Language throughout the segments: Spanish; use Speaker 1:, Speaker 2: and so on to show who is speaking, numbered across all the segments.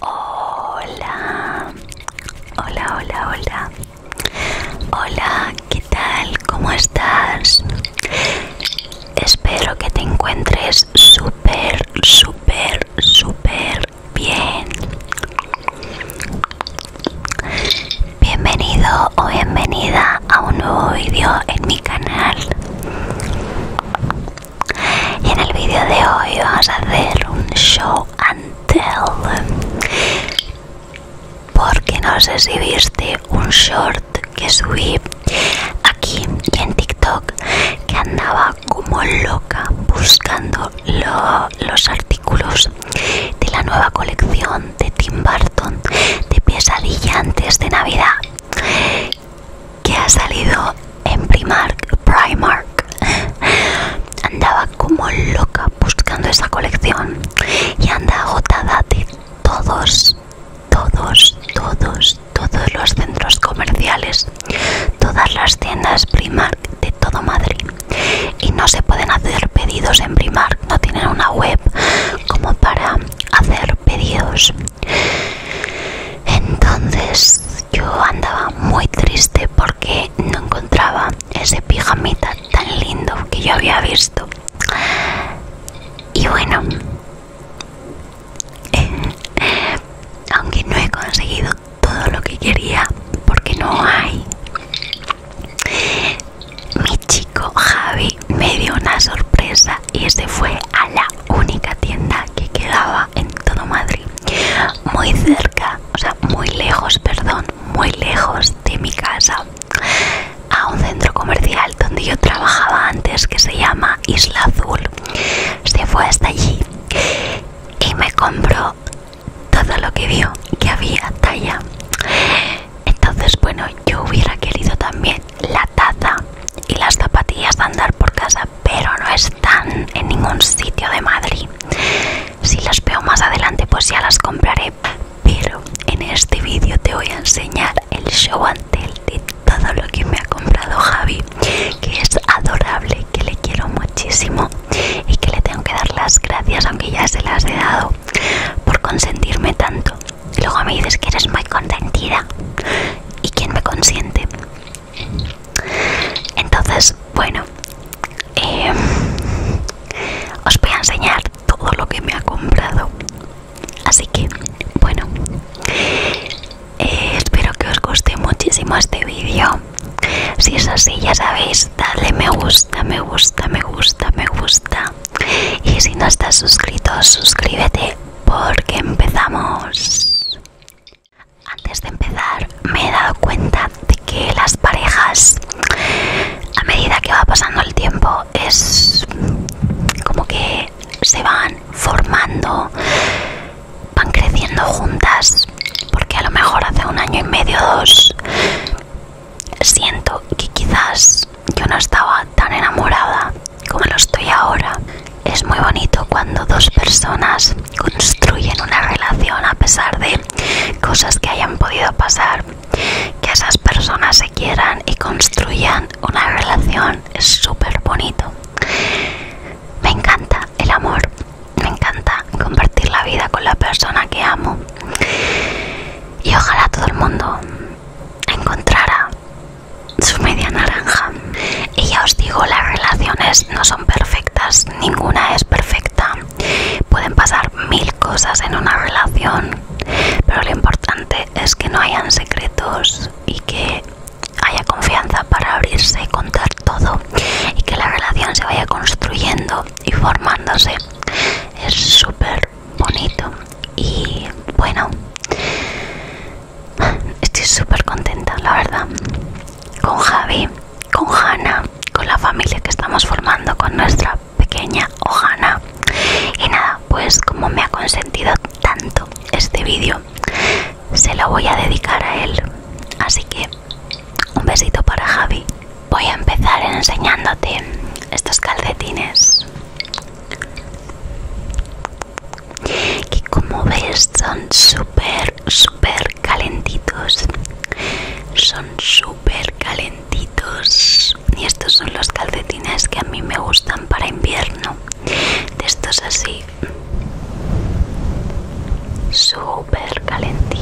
Speaker 1: Hola, hola, hola, hola. Hola, ¿qué tal? ¿Cómo estás? Espero que te encuentres súper, súper, súper bien. Bienvenido o bienvenida a un nuevo vídeo en mi canal. Y en el vídeo de hoy vamos a hacer un show and tell. Porque no sé si viste un short que subí aquí en TikTok que andaba como loca buscando los artículos de la nueva colección de Tim Burton de pesadilla antes de Navidad que ha salido en Primark, Primark. Andaba como loca buscando esa colección y anda agotada de todos, todos, todos, todos los centros comerciales, todas las tiendas Primark de todo Madrid. Y no se pueden hacer pedidos en Primark, no tienen una web como para hacer pedidos. Entonces yo andaba muy triste porque no encontraba ese pijamita tan lindo que yo había visto. Y bueno, aunque no he conseguido todo lo que quería porque no hay, mi chico Javi me dio una sorpresa y se este fue a la única tienda que quedaba en todo Madrid, muy cerca, o sea, muy lejos, perdón, muy lejos de mi casa, a un centro comercial donde yo trabajaba antes que se llama Isla Azul. Se fue hasta allí y me compró todo lo que vio que había talla. Entonces, bueno, yo hubiera querido también la taza y las zapatillas de andar por casa, pero no están en ningún sitio de Madrid. Si las veo más adelante, pues ya las compraré. Pero en este vídeo te voy a enseñar el show ante de todo lo que me ha comprado Javi, que es adorable, que le quiero muchísimo y que le tengo que dar las gracias, aunque ya se las he dado, por consentirme tanto. Luego me dices que eres muy contentida ¿Y quién me consiente? Entonces, bueno, eh, os voy a enseñar todo lo que me ha comprado. Así que, bueno, eh, espero que os guste muchísimo este vídeo. Si es así, ya sabéis, dale me gusta, me gusta, me gusta, me gusta. Y si no estás suscrito, suscríbete porque empezamos. Antes de empezar me he dado cuenta de que las parejas a medida que va pasando el tiempo es como que se van formando, van creciendo juntas, porque a lo mejor hace un año y medio o dos siento que quizás yo no estaba tan enamorada como lo estoy ahora. Es muy bonito cuando dos personas construyen una relación a pesar de cosas que hayan podido pasar. Que esas personas se quieran y construyan una relación es súper bonito. Me encanta el amor, me encanta compartir la vida con la persona que amo. Y ojalá todo el mundo encontrara su media naranja. Y ya os digo, las relaciones no son perfectas, ninguna es perfecta. Pueden pasar mil cosas en una relación, pero lo importante es que no hayan secretos y que haya confianza para abrirse y contar todo y que la relación se vaya construyendo y formándose. Es súper bonito y bueno estoy súper contenta la verdad con Javi con Hanna con la familia que estamos formando con nuestra pequeña Ohana y nada pues como me ha consentido tanto este vídeo se lo voy a dedicar a él así que un besito para Javi voy a empezar enseñándote estos calcetines que como ves son súper súper calentitos son súper calentitos y estos son los calcetines que a mí me gustan para invierno de estos así súper calentitos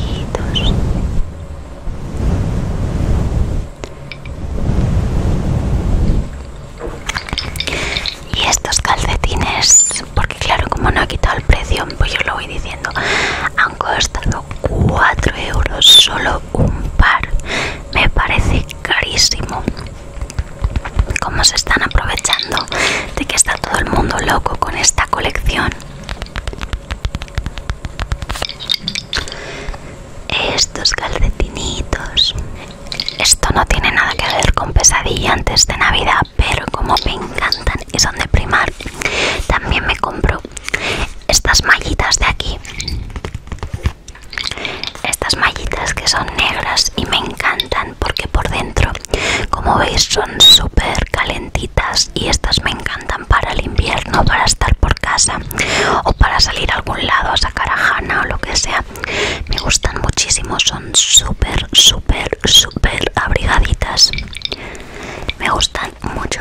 Speaker 1: y estos calcetines, porque claro, como no ha quitado el precio, pues yo lo voy diciendo, han costado 4 euros solo un par. Me parece carísimo. Cómo se están aprovechando de que está todo el mundo loco con esta colección. Estos calcetinitos. Esto no tiene nada que ver con pesadilla antes de Navidad, pero como me encantan y son de primar, también me compro estas mallitas de aquí. Estas mallitas que son negras y me encantan porque por dentro, como veis, son súper calentitas y estas me encantan para el invierno, para estar por casa o para salir a algún lado a sacar a Hanna o lo que sea. Me gustan muchísimo, son súper, súper, súper abrigaditas. Me gustan mucho.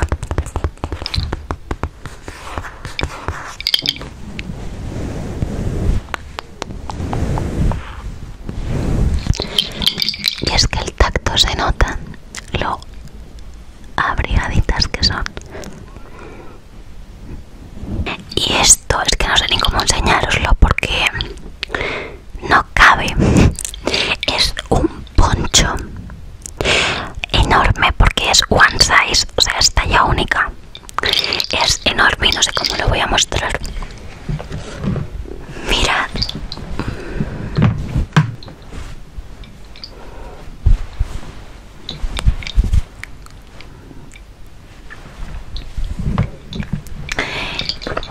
Speaker 1: Y es que el tacto se nota lo abrigaditas que son. Y esto es que no sé ni cómo enseñároslo porque no cabe. Es un poncho enorme porque es one size, o sea, es talla única. Es enorme y no sé cómo lo voy a mostrar. Mirad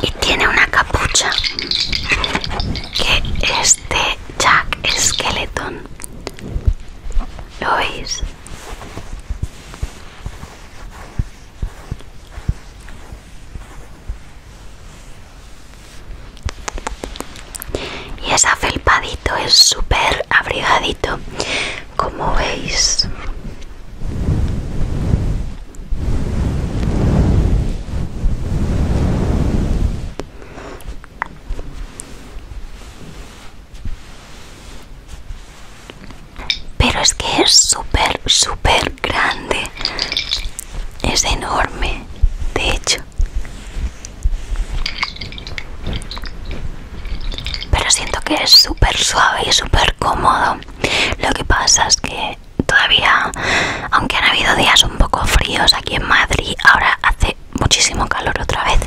Speaker 1: y tiene una capucha que es Jack Skeleton ¿lo es y es afelpadito, es súper abrigadito, como veis. Pero es que es súper, súper grande. Es enorme, de hecho. Pero siento que es súper suave y súper cómodo. Lo que pasa es que todavía, aunque han habido días un poco fríos aquí en Madrid, ahora hace muchísimo calor otra vez.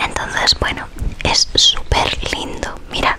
Speaker 1: Entonces, bueno, es súper lindo. Mira.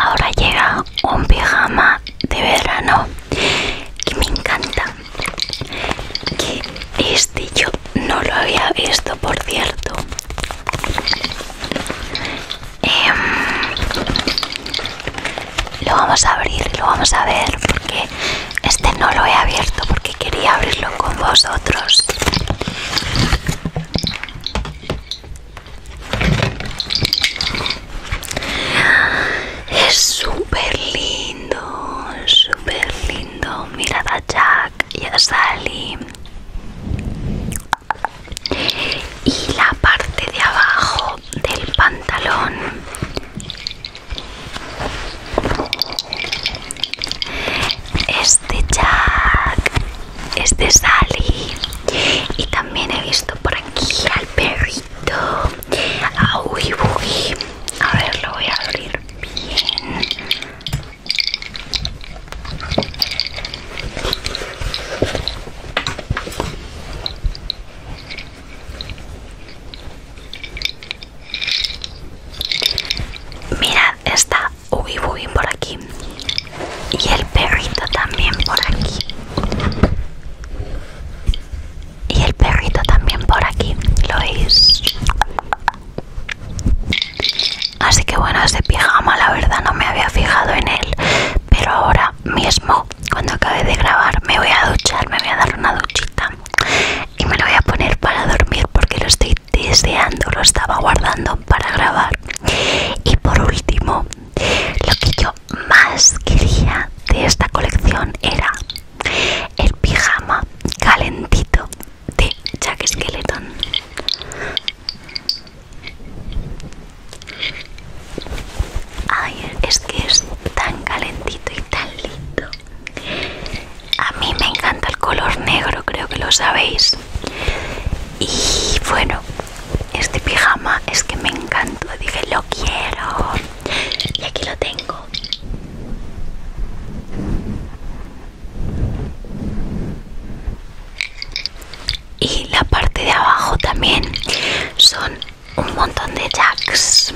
Speaker 1: Ahora llega un pijama de verano que me encanta. Que este yo no lo había visto, por cierto. Em, lo vamos a abrir y lo vamos a ver porque este no lo he abierto porque quería abrirlo con vosotros. Es súper lindo, súper lindo. Mirad a Jack y a Sally y la parte de abajo del pantalón este Jack este Sally y también he visto por aquí al perrito a Uy a ver lo voy a abrir bien Mirad, está Ubi por aquí. Y el perrito también por aquí. Y el perrito también por aquí. ¿Lo veis? Así que bueno, ese pijama la verdad no me había fijado en él pero ahora mismo cuando acabe de grabar me voy a duchar me voy a dar una duchita y me lo voy a poner para dormir porque lo estoy deseando lo estaba guardando para grabar y por último lo que yo más quería de esta colección era el pijama calentito de Jack Skeleton Ay, es que es tan calentito y tan lindo. A mí me encanta el color negro, creo que lo sabéis. Y bueno, este pijama es que me encantó. Dije, lo quiero. Y aquí lo tengo y la parte de abajo también son un montón de jacks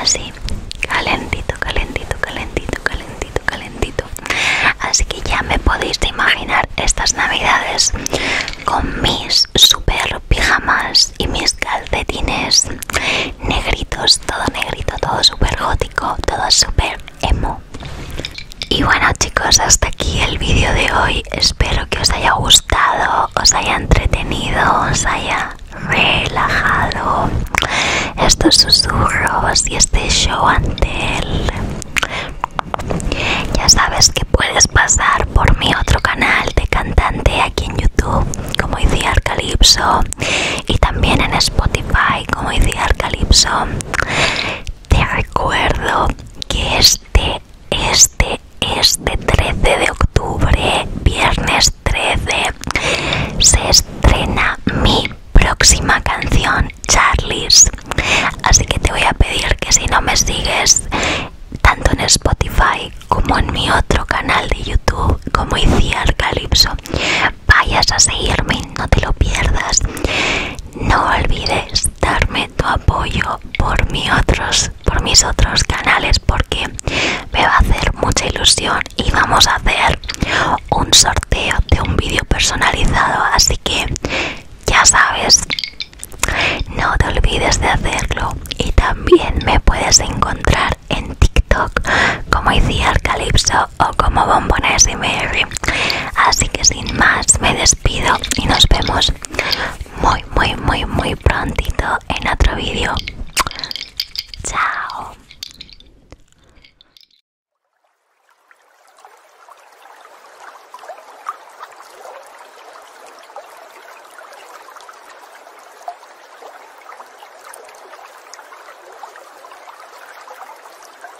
Speaker 1: así calentito calentito calentito calentito calentito así que ya me podéis imaginar estas navidades con mis super pijamas y mis calcetines negritos todo negrito todo super gótico todo super emo. Y bueno chicos, hasta aquí el vídeo de hoy. Espero que os haya gustado, os haya entretenido, os haya relajado estos susurros y este show ante él. Ya sabes que puedes pasar por mi otro canal de cantante aquí en YouTube, como hice Arcalipso, y también en Spotify, como hice Arcalipso. Te recuerdo que este, este, este 13 de octubre, viernes 13, se estrena mi próxima canción, Charlies. Así que te voy a pedir que si no me sigues tanto en Spotify como en mi otro canal de YouTube, como hice el Calypso, vayas a seguirme, no te lo pierdas. No olvides darme tu apoyo por, mis otros canales porque me va a hacer mucha ilusión y vamos a hacer un sorteo de un vídeo personalizado. Así que ya sabes, no te olvides de hacerlo. Y también me puedes encontrar en TikTok como el Calypso o como Bombones y Mary. Así que sin más me despido y nos vemos muy, muy, muy, muy prontito en otro vídeo. Chao.